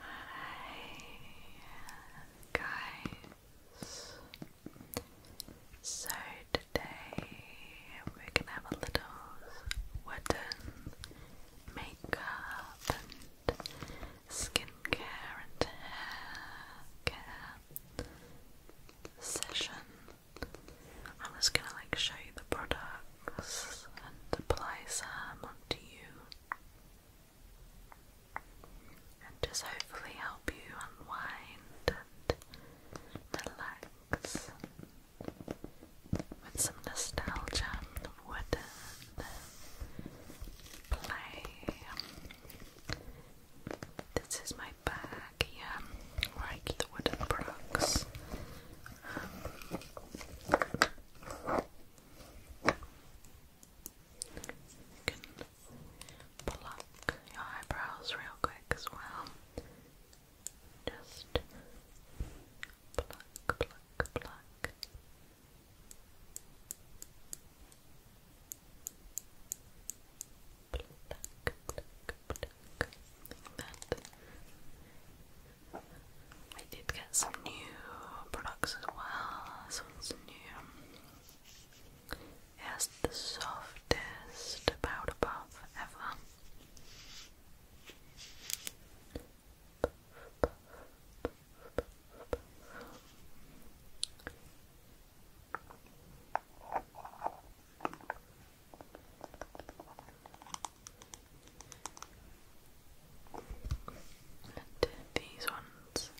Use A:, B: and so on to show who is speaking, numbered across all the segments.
A: Hi guys. So today we're gonna have a little wooden makeup and skincare and hair care session. I'm just gonna like show you the products and apply some onto you and just hopefully help you unwind and relax with some nostalgia of wooden play. This is my bag here where I wooden products. You can pluck your eyebrows real quick as well. Just pluck, pluck, pluck. Pluck, pluck, pluck. Like that. I did get some new products as well. This new. It the softest powder puff ever these ones,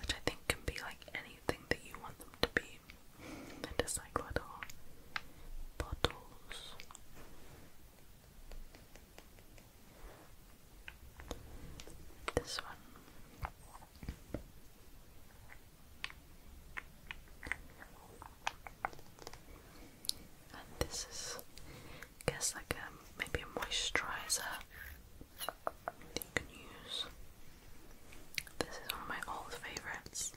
A: which I think can be like anything that you want them to be. They're just bottles. This one. And this is I guess like a, um, maybe a moisturizer that you can use. This is one of my old favourites.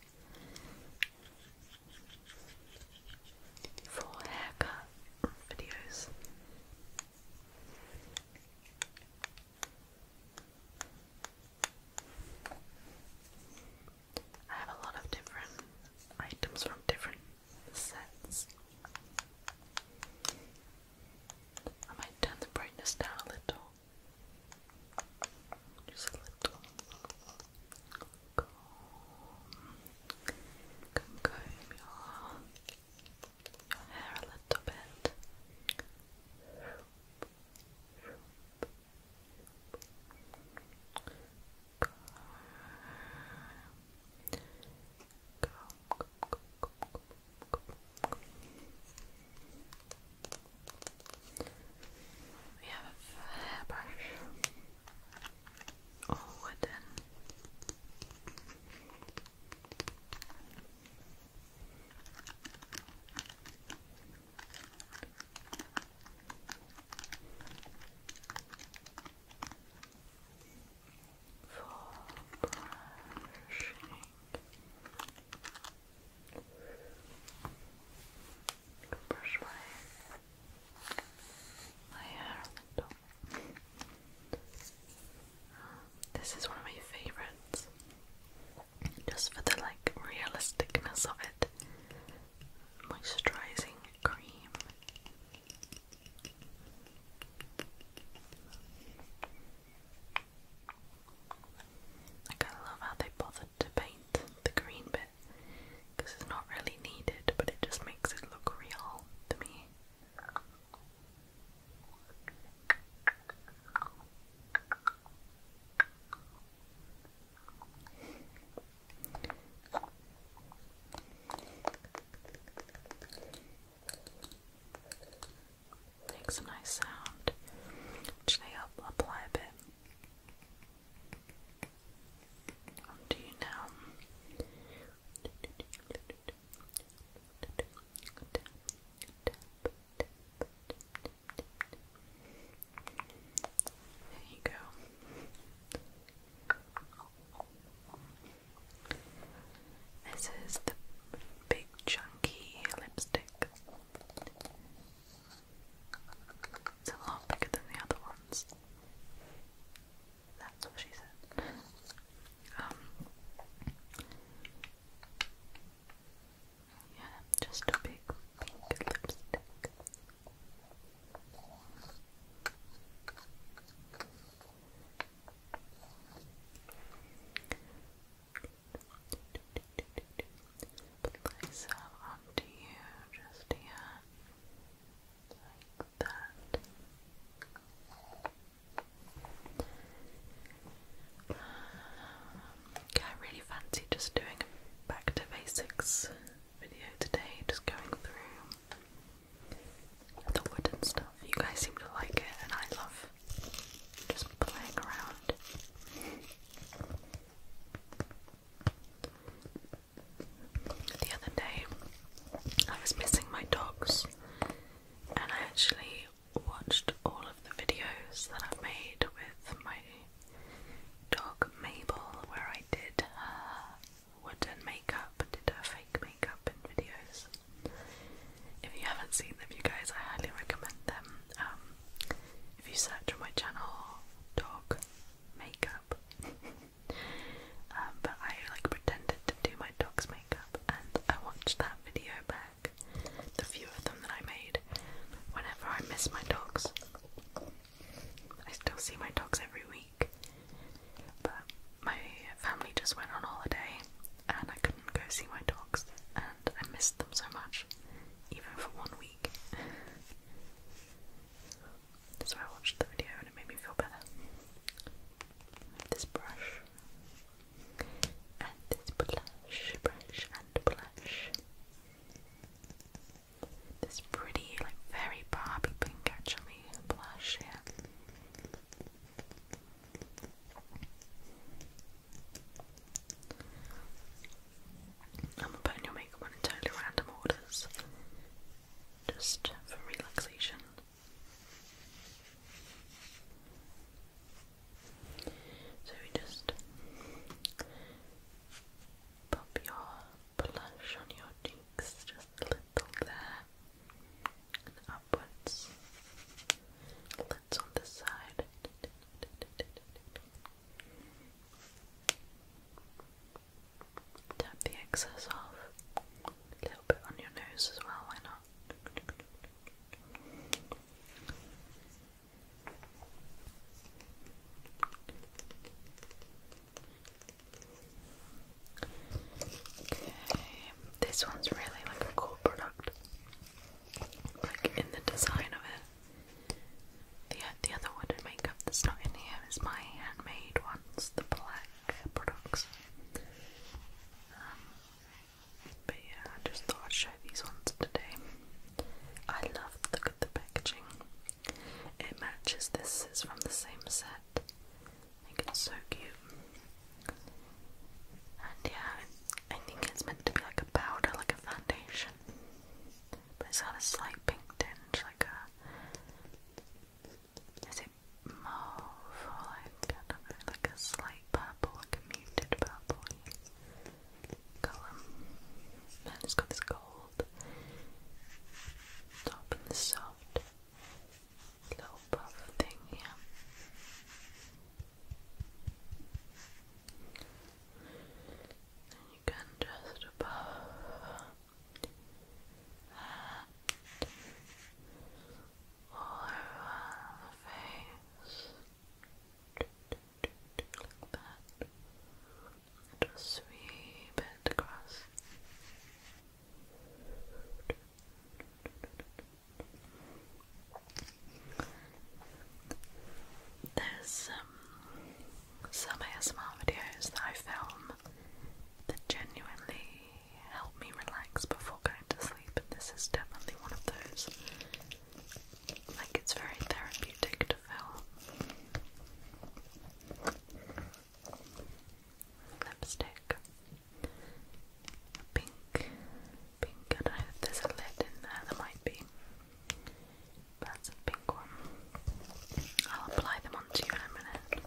A: For haircut videos. I have a lot of different items from different sets. I might turn the brightness down a little. Just a little. Comb. comb your, your hair a little bit. Go. Go, go, go, go, go. We have a hairbrush, all wooden for brushing. Brush my, my hair a little. This is one of my favorites, just for the like realisticness of it. Moisturizing cream like I love how they bothered to paint the green bit because it's not really needed, but it just makes it look real to me. Makes a nice sound. Should I up apply a bit? Um, do you now. There you go. This is the big chunky lipstick. It's a lot bigger than the other ones. That's what she said. Um, yeah, just a big pink lipstick. Place that onto you just here, like that. okay, I really fancy just doing a back to basics video today, just going through the wooden stuff. You guys seem to like it, and I love just playing around. The other day, I was missing my dogs, and I actually watched all of the videos that i made with my dog Mabel, where I did wooden makeup, did her fake makeup in videos. If you haven't seen them, you guys, I highly recommend them. Um, if you search on my channel, dog makeup. Um, but I like pretended to do my dog's makeup, and I watched that video back. The few of them that I made. Whenever I miss my dogs, I still see my dogs every week. But my family just went on holiday and I couldn't go see my dogs and I missed them so much, even for one week. so I watched the video and it made me feel better. This brush and this blush, brush and blush. This pretty, like very Barbie pink actually blush here. I'm putting your makeup in totally random orders, just for relaxation. So we just pop your blush on your cheeks just a little there and upwards. let on the side. Tap the excess off. A little bit on your nose as well, why not? this one's really like a cool product, like in the design of it. The, the other wooden makeup that's not in here is my handmade ones, the black products. Um, but yeah, I just thought I'd show these ones today. I love the packaging. It matches this is from the same set it's so cute. And yeah, I think it's meant to be like a powder, like a foundation. But it's got a slight pink tinge, like a. Is it mauve or like, I do like a slight purple, like a muted purple colour? And it's got this gold top and this soft little puff thing here. you can just puff all over the face. Like that. Just sweep it across there's um, some ASMR videos that I film that genuinely help me relax before going to sleep, and this is definitely one of those. Like, it's very therapeutic to film lipstick. Pink. Pink, I know there's a lid in there, there might be. That's a pink one. I'll apply them onto you in a minute.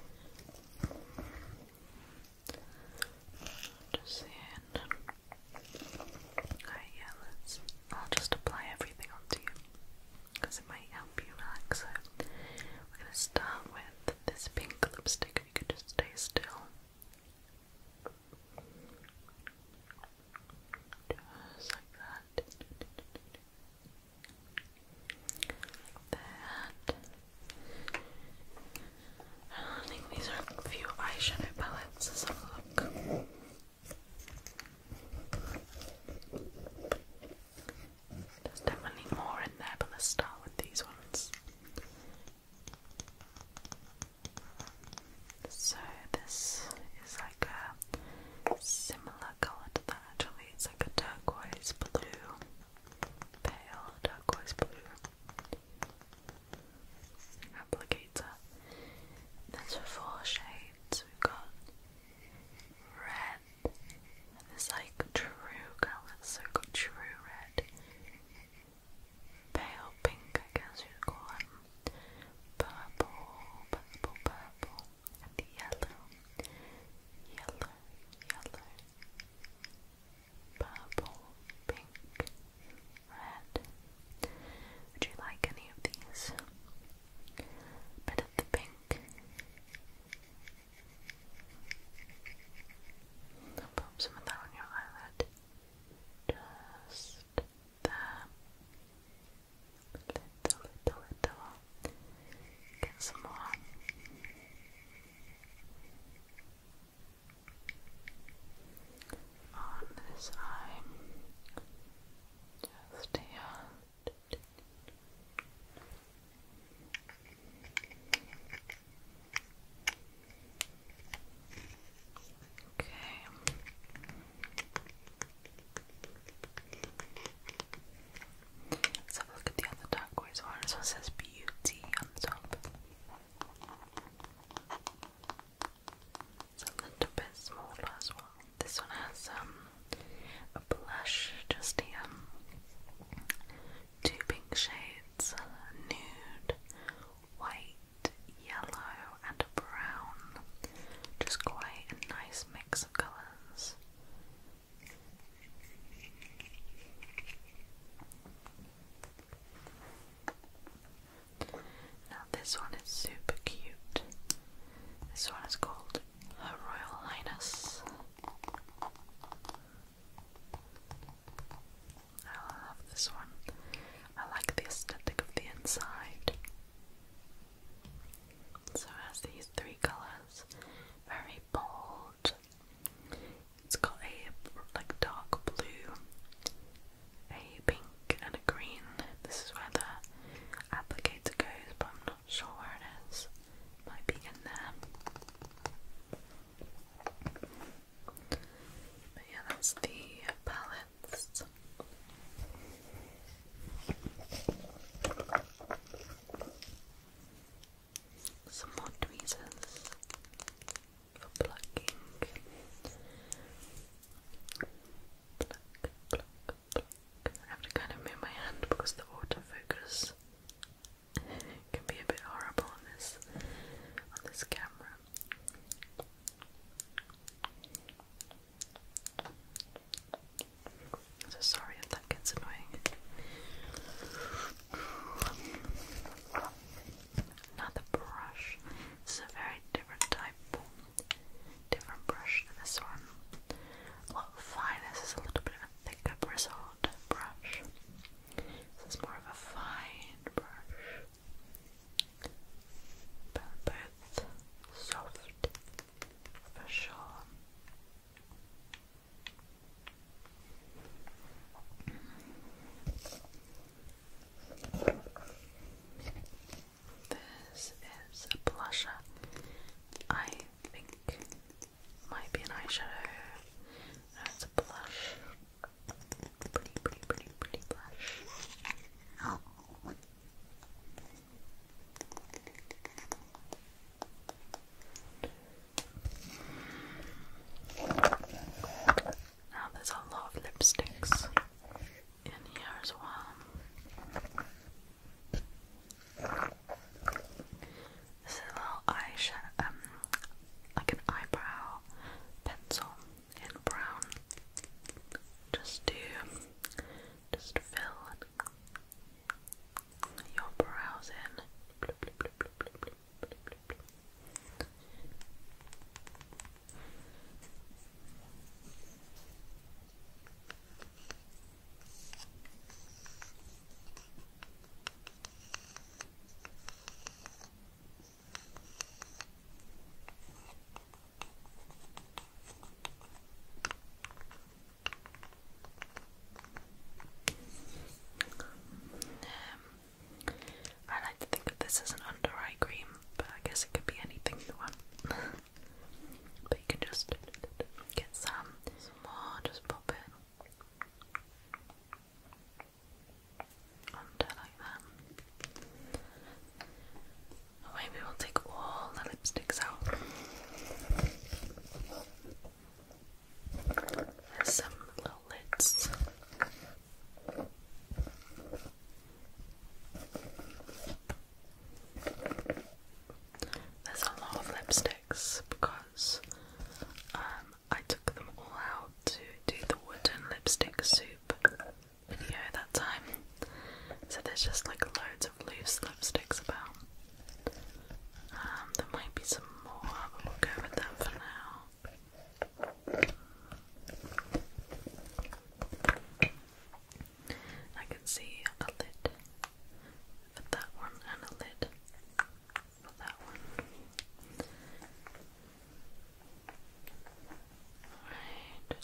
A: Just seeing. Alright, yeah, let's. I'll just apply everything onto you because it might help you relax. So, we're going to start with this pink lipstick, if you could just stay still. Just like that. that. I think these are a few eyeshadow palettes. Let's have a look. There's definitely more in there, but let's start with these ones. So this is like a similar colour to that actually, it's like a turquoise blue, pale turquoise blue applicator. There's four shades, we've got and it's like true colours, so true red, pale pink, I guess you'd call them, purple, purple, purple, and the yellow, yellow, yellow, purple, pink, red. Would you like any of these? A the pink. I'll pop some of that on your eyelid. Just there. Little, little, little. Get some more. On this eye. Just here. Okay. Let's have a look at the other turquoise one. This one says beauty on the top. It's a little bit smaller as well. This one has um a blush just here two pink shades nude, white, yellow, and brown. Just quite a nice mix of colours. Now, this one is super cute. This one is called Her Royal Highness. I love this one. I like the aesthetic of the inside. So it has these three colours, very bold. It's got a like dark blue, a pink, and a green. This is where the applicator goes, but I'm not sure where it is. Might be in there. But yeah, that's the palettes. Some more tweezers for plucking. I have to kind of move my hand because the autofocus can be a bit horrible on this on this camera. So sorry if that gets annoying. Another brush. This is a very different type, different brush to this one. A lot This is a little bit of a thicker bristled brush. This is more of a fine brush, but soft for sure. This is a blusher. I think might be an eyeshadow. No, a blush. Pretty, pretty, pretty, pretty blush. Now there's a lot of lipsticks in here as well. This is a little eyeshadow, um, like an eyebrow pencil in brown, just to just fill your brows in. Um, I like to think of this as an under eye cream, but I guess it could be anything you want. but you can just get some more, just pop it under like that. maybe we'll take all the lipsticks out. There's some little lids. There's a lot of lipsticks because um, I took them all out to do the wooden lipstick soup video that time. So there's just like loads of loose lipsticks about. Um, there might be some more, but we'll go with them for now. I can see a lid for that one and a lid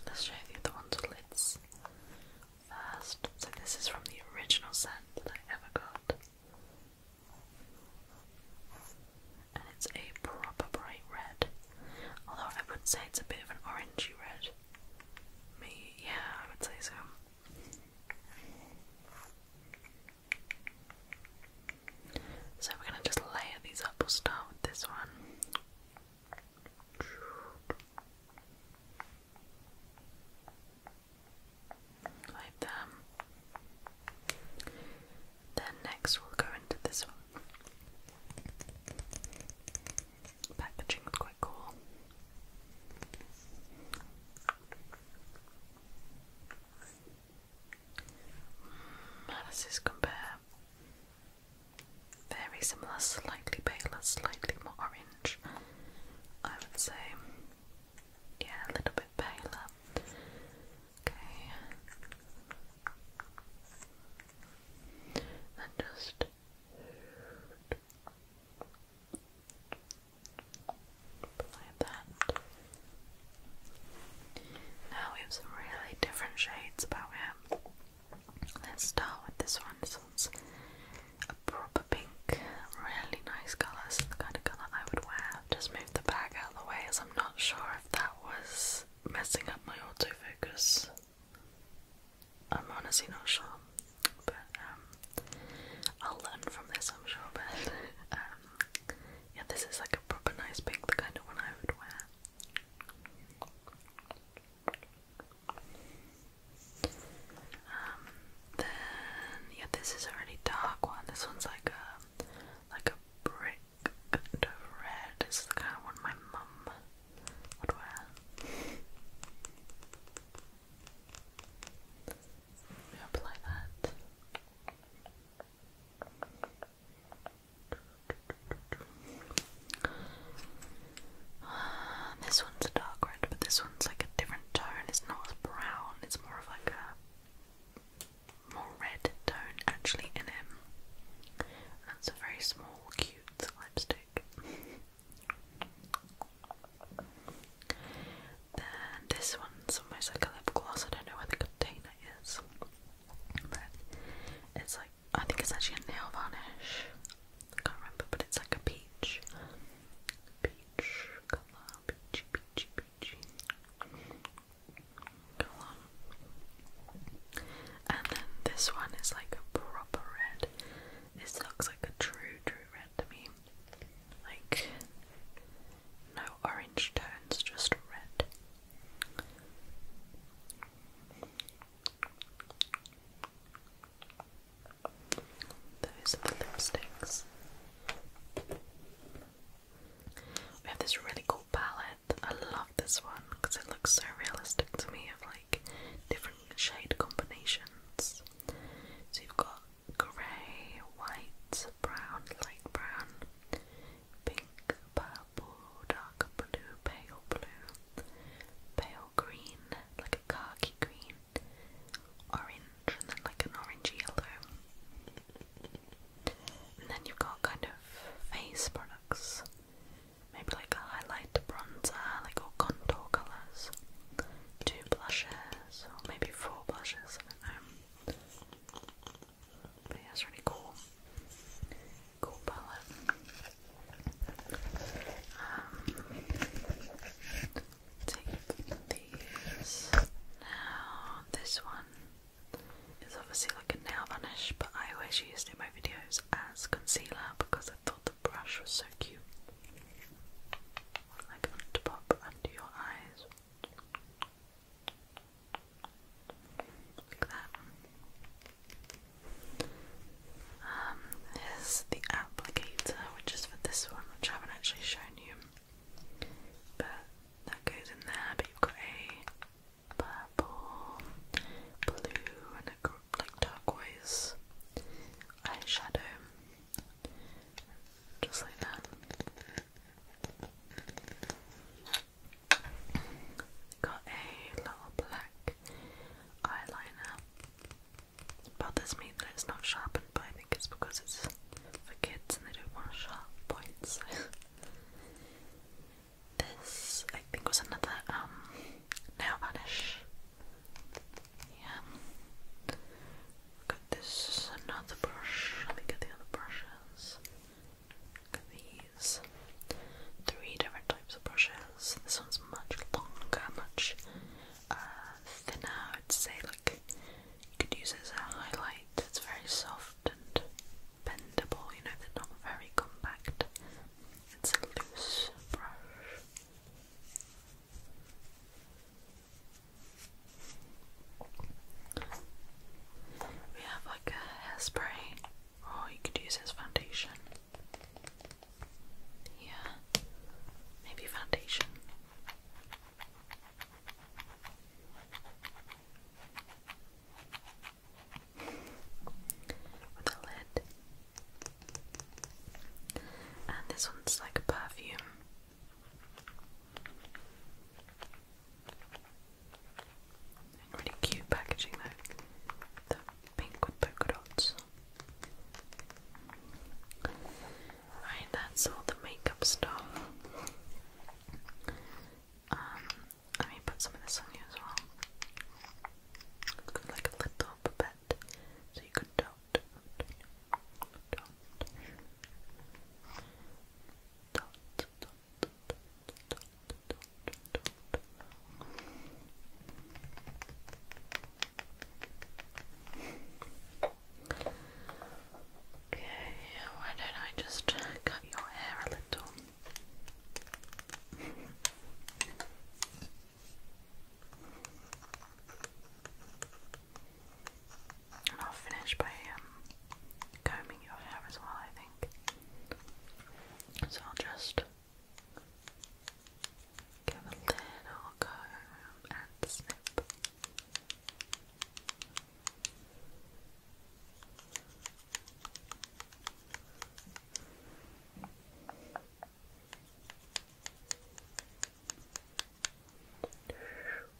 A: let's show you the ones with lids first. So this is from the original set that I ever got. And it's a proper bright red. Although I would say it's a bit of an orangey red. Me, yeah, I would say so. So we're going to just layer these up. We'll start with this one. Like that. Then next we'll go into this one. Packaging was quite cool. Malices compare. Very similar, slightly paler, slightly more orange. I would say, yeah, a little bit paler. Okay. Then just now we have some really different shades about him. Let's start with this one. This one's a proper pink, really nice colour. This the kind of colour I would wear. Just move the bag out of the way as I'm not sure if that was messing up my autofocus. I'm honestly not sure, but um, I'll learn from this, I'm sure. But um, yeah, this is like a proper nice pink, the kind of one I would wear. Um, then yeah, this is a really dark one. This one's like a like a brick kind of red. This is the kind of one my mum would wear. apply that. this one's a dark red, but this one's like a different tone. It's not as brown, it's more of like a more red tone actually in it. That's a very small, cute lipstick. Then this one's almost like a lip gloss. I don't know where the container is, it's like I think it's actually a nail varnish. I can't remember, but it's like a peach, peach color, peachy, peachy, peachy color. And then this one is like a proper red. This looks like a true, true red to me like no orange tones, just red. Those are the lipsticks. We have this really cool palette. I love this one because it looks so realistic to me of like different shade combinations. So you've got grey, white, brown, light brown, pink, purple, dark blue, pale blue, pale green, like a khaki green, orange, and then like an orange yellow. And then you've got kind of face products, maybe like a bronzer, like all contour colours, two blushes, or maybe four blushes, but it's really cool. Cool palette. Um, take these. Now, this one is obviously like a nail varnish, but I always used it in my videos as concealer because I thought the brush was so cute. Like under your eyes. Like that. Um, here's the applicator, which is for this one, which I haven't actually shown you. But that goes in there, but you've got a purple, blue, and a like turquoise eyeshadow. Just like that. Got a little black eyeliner. Bothers me that it's not sharpened, but I think it's because it's for kids and they don't want sharp points. this, I think, was another um, nail varnish. Yeah. Got this another brush. Let me get the other brushes. Look at these. Three different types of brushes. This one's much longer, much uh, thinner. I'd say like you could use as a highlight. It's very soft and bendable. You know they're not very compact. It's a loose brush. We have like a hairspray, or oh, you could use as foundation. Yeah, maybe foundation. With a lid. And this one's like a perfume. Really cute packaging though. The pink with polka dots. Alright, that's all the makeup stuff. Um, let me put some of this on you as well. Got like a little pipette, so you could dot dot, dot, Okay, why don't I just cut your hair a little? And I'll finish by um, combing your hair as well, I think. So I'll just give a little comb and snip.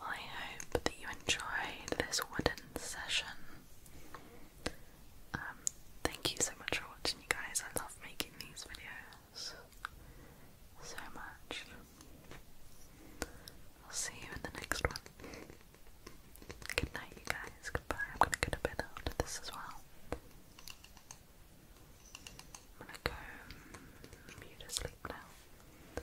A: I hope that you enjoyed this wooden session. Um, thank you so much for watching, you guys. I love making these videos so much. I'll see you in the next one. Good night, you guys. Goodbye. I'm gonna get a bit after this as well. I'm gonna go to sleep now.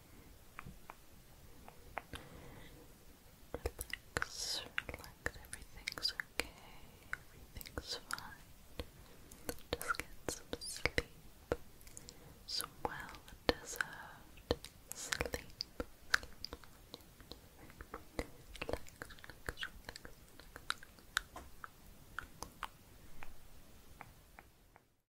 A: Relax, relax, everything's okay, everything's fine. Just get some sleep. Some well deserved sleep.